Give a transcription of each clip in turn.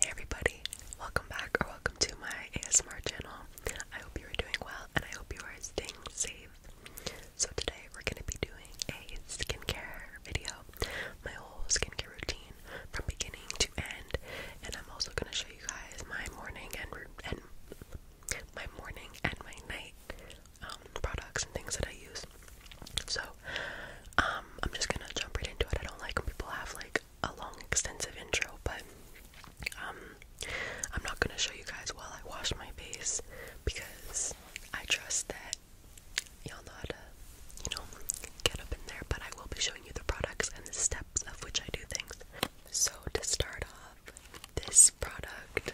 Hey everybody, welcome back or welcome to my ASMR channel. I hope you are doing well and I hope you are staying safe. So today we're going to be doing a skincare video, my whole skincare routine from beginning to end, and I'm also going to show you guys my morning and my morning and my night um, products and things that I use. So um, I'm just gonna jump right into it. I don't like when people have like a long, extensive intro, but um, I'm not gonna show you guys while I wash my face because I trust that y'all know how to, you know, get up in there. But I will be showing you the products and the steps of which I do things. So to start off, this product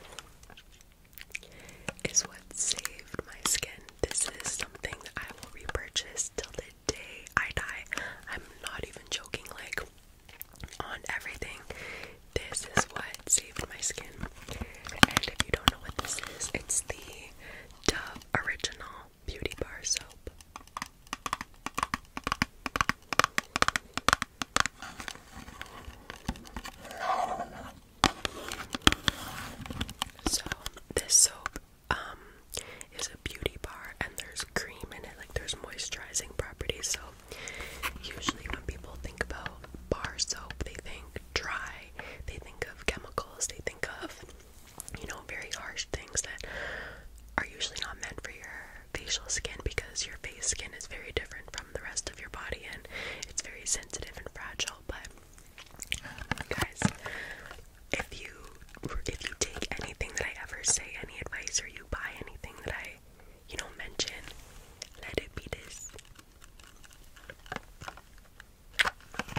is what saved my skin this is something that I will repurchase till the day I die. I'm not even joking, like, on everything. This is what saved my skin. And if you don't know what this is, it's the Dove Original Beauty Bar Soap. So, this soap um is a beauty bar and there's cream in it like there's moisturizing properties so usually when people think about bar soap they think dry they think of chemicals they think of you know very harsh things that are usually not meant for your facial skin because your face skin is very different from the rest of your body and it's very sensitive and fragile but Guys, if you if you take anything that I ever say, any advice, or you buy anything that I, you know, mention, let it be this.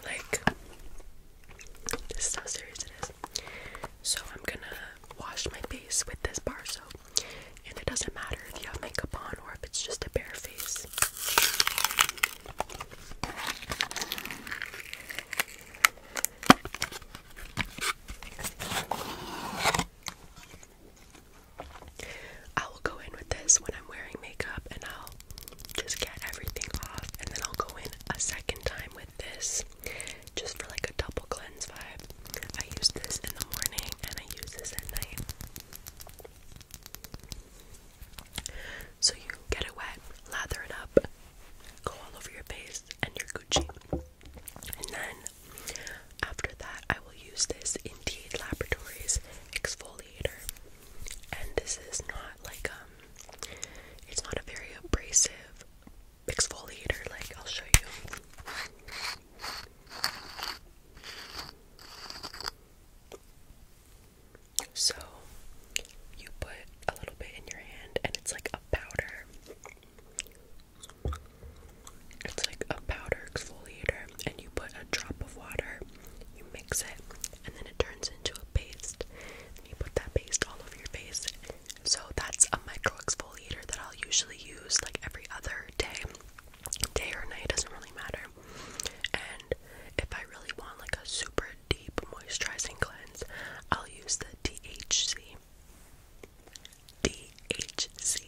Like this is how serious it is. So I'm gonna wash my face with this bar soap, and it doesn't matter if you have makeup on or if it's just a bare face. I will go in with this when I'm wearing makeup and I'll just get everything off and then I'll go in a second time with this just for like a double cleanse vibe. I use this in the morning and I use this at night. So you get it wet, lather it up, go all over your face, and you're Gucci. And then after that, I will use this Indeed Laboratories exfoliator. And this is not like um, it's not a very abrasive exfoliator. Like I'll show you. So you put a little bit in your hand and it's like a powder. It's like a powder exfoliator, and you put a drop of water, you mix it, and then it turns into a paste. you put that paste all over your face. So that's a micro exfoliator that I'll usually use like every other day day or night doesn't really matter. And if I really want like a super deep moisturizing cleanse, I'll use the DHC DHC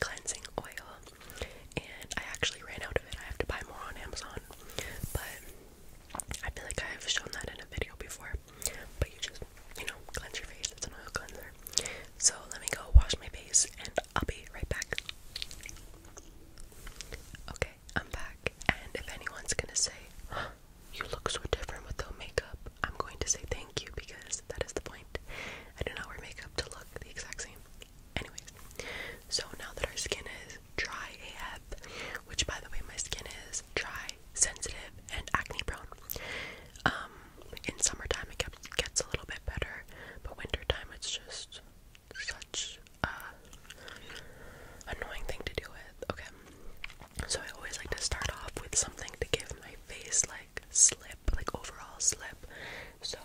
cleansing oil. And I actually ran out of it. I have to buy more on Amazon. But I feel like I have shown that in a video before. But you just, you know, cleanse your face. It's an oil cleanser. So let me go wash my face and I'll be right back. Okay, I'm back. And if anyone's gonna say, you look so different with no makeup, I'm going to say thank you because that is the point. I do not wear makeup to look the exact same. Anyways, so now that our skin is dry AF, which by the way, my skin is dry, sensitive, and acne prone. Um, in summertime it gets a little bit better, but wintertime it's just such a annoying thing to deal with. Okay. So I always like to start off with something to give my face like slip, like overall slip. So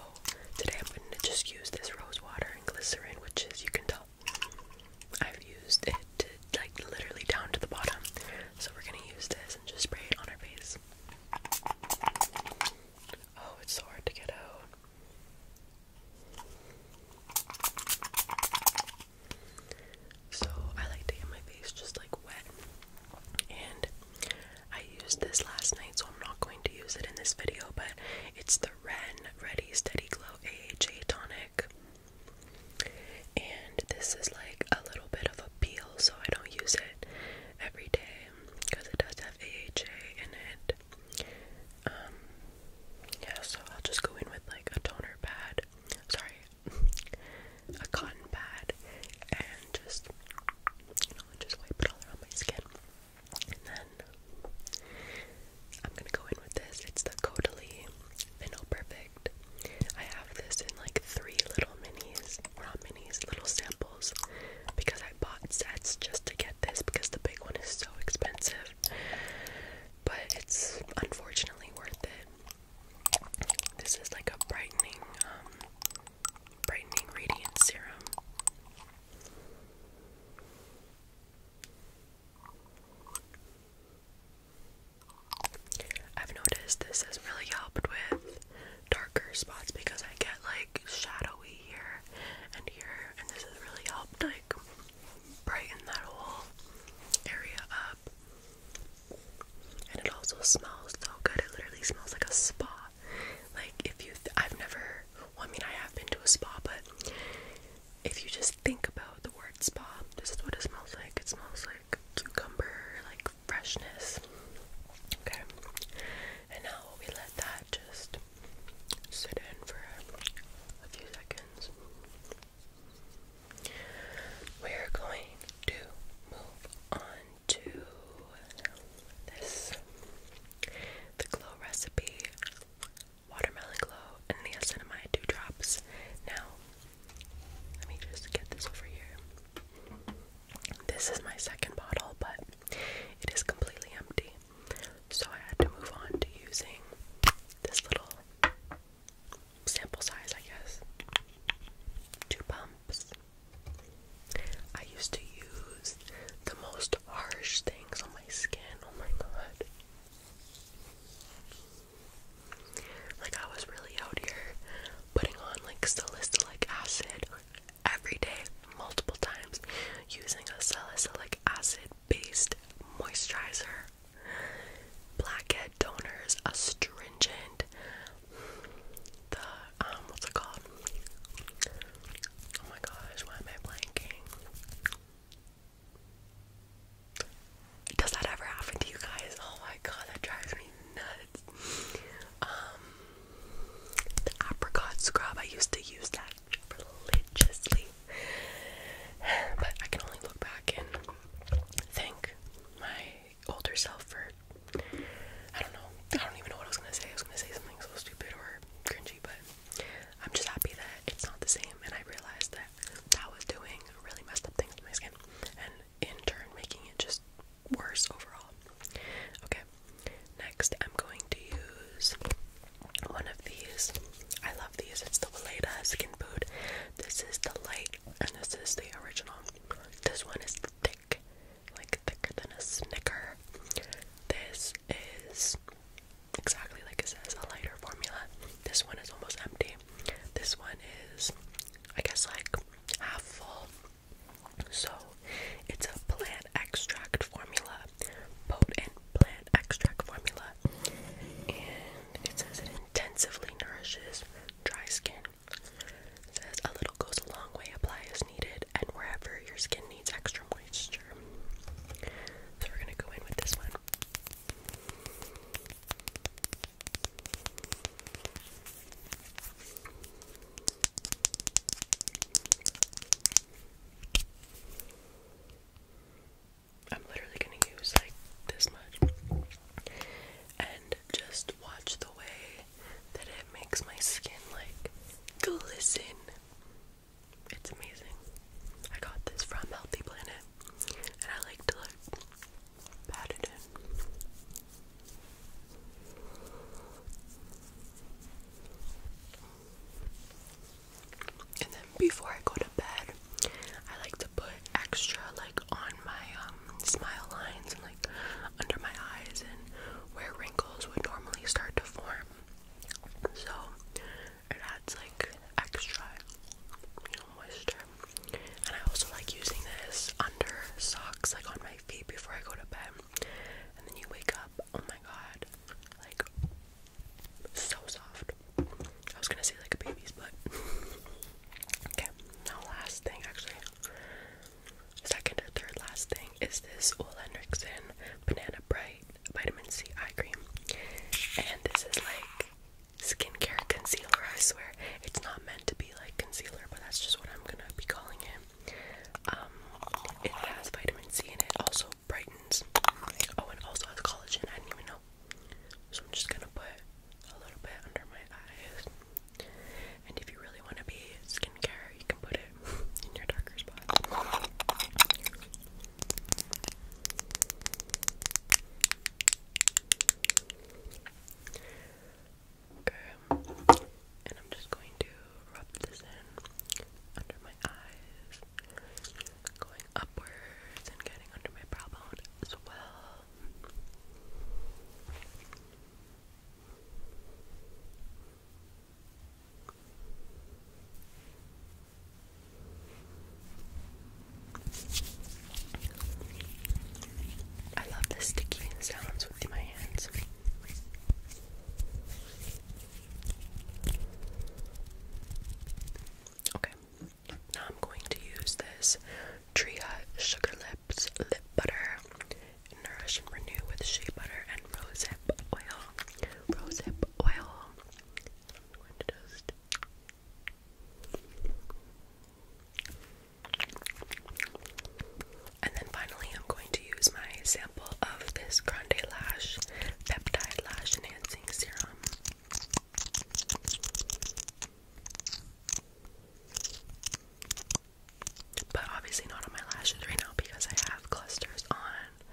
today I'm going to just use this rose water and glycerin, which is you can tell I've used it like literally down to the bottom. So we're going to use this and just spray it on our face. Oh, it's so hard to get out. So I like to get my face just like wet. And I used this last night, so I'm not going to use it in this video, but it's the Ren Ready Steady Glow AHA Tonic. And this is like a little bit of a peel, so I don't use it every day because it does have AHA in it. Um, yeah, so I'll just go in with like a toner pad, sorry, a cotton pad, and just, you know, just wipe it all around my skin. And then I'm gonna go in with this. It's the Caudalie Vino Perfect. I have this in like three little minis, or not minis, little samples, because I I bought sets just to get this because the big one is so expensive. But it's unfortunately worth it. This is like a brightening, um, brightening radiant serum. I've noticed this has really helped with darker spots because I get like shadowy here and here, and this has really helped like brighten that whole area up. And it also smells so good. It literally smells like a spa. Like if you, I've never. Well, I mean, I have been to a spa, but if you just think about the word spa, this is what it smells like. It smells like cucumber, like freshness. Okay, and now we let that just sit in for a few seconds. We're going to move on to this the glow recipe watermelon glow and the acetamide two drops. Now, let me just get this over here. This is my second bottle, but it is completely empty. So I had to move on to using this little sample size, I guess. Two pumps. I used to use the most harsh things on my skin. Oh my god. Like I was really out here putting on like salicylic acid every day, multiple times, using a salicylic acid based moisturizer. Blackhead toners, astringent, the, um, what's it called? Oh my gosh, why am I blanking? Does that ever happen to you guys? Oh my god, that drives me nuts. Um, the apricot scrub, I used to use that religiously. But I can only look back and think my older self for I don't know. I don't even know what I was gonna say. I was gonna say something so stupid or cringy, but I'm just happy that it's not the same and I realized that that was doing really messed up things to my skin and in turn making it just worse overall. Okay, next I'm going to use one of these. I love these. It's the Weleda Skin Food. This is the light, and this is the original. This one is thick, like thicker than a Snicker. This is exactly like it says, a lighter formula. This one is almost empty. This one is, I guess, like half full. So, it's a plant extract formula, potent plant extract formula, and it says it intensively nourishes dry skin. It says a little goes a long way, apply as needed, and wherever your skin needs extra moisture. So, we're gonna go in with this one. I'm literally going to use like this much and just watch the way that it makes my skin like glisten. It's amazing. I got this from Healthy Planet and I like to look and then before I go to bed, I like to put extra like on my um smile lines and like under my eyes and where wrinkles would normally start to form. So it adds like extra, you know, moisture. And I also like using this under socks, like on my feet before I go to bed. And then you wake up, oh my god, like so soft. I was gonna say like a baby's, but okay. No last thing, actually, second or third last thing is this Ole Banana Bright Vitamin C Eye Cream, and this is like skincare concealer, I swear. It's not meant to be like concealer, but that's just what I'm gonna be calling it. Um, it has vitamin C and it also brightens. Oh, and also has collagen, I didn't even know. So I'm just gonna put a little bit under my eyes. And if you really want to be skincare, you can put it in your darker spots. Okay. And I'm just going to rub this in under my eyes, going upwards and getting under my brow bone as well. I love the sticky sounds with my hands. Okay, now I'm going to use this Tria Sugar Lips Lip Butter Nourish and Renew with Shea Butter and Rosehip Oil. Rosehip Oil. And then finally, I'm going to use my sample of this Grande Lash Peptide Lash Enhancing Serum. But obviously, not on my lashes right now because I have clusters on,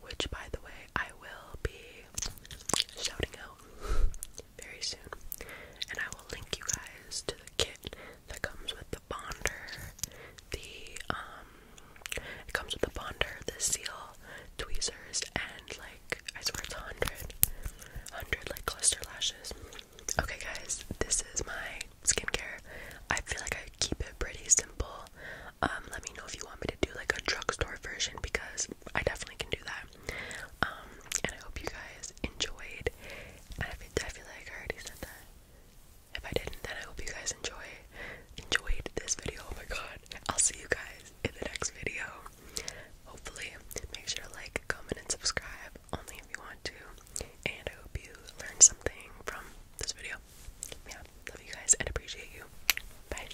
which by the way, I will be shouting out very soon. And I will link you guys to the kit that comes with the bonder, the um it comes with the bonder, the seal, tweezers, and like I swear it's a hundred, hundred like cluster lashes. Okay guys, this is my skincare. I feel like I keep it pretty simple. Um, let me know if you want me to do like a drugstore version because I definitely can do that. Um, and I hope you guys enjoyed. And I feel, like I already said that. If I didn't, then I hope you guys enjoy enjoyed this video. Oh my god. I'll see you guys in the next video. Hopefully, make sure to like, comment, and subscribe only if you want to. And I hope you learned something from this video. Yeah, love you guys and appreciate you. Bye.